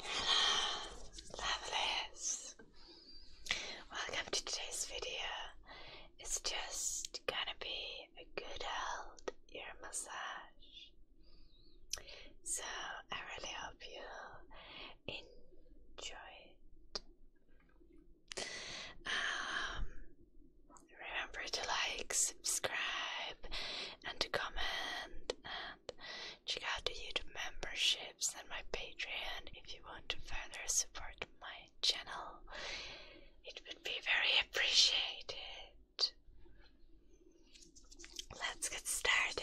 Hello, lovelies. Welcome to today's video. It's just gonna be a good old ear massage. So I really hope you enjoy it. Um, remember to like, subscribe, and to comment and check out the YouTube memberships and my Patreon if you want to further support my channel. It would be very appreciated. Let's get started.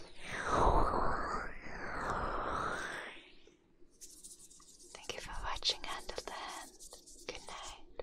Thank you for watching Hand of the Hand. Good night.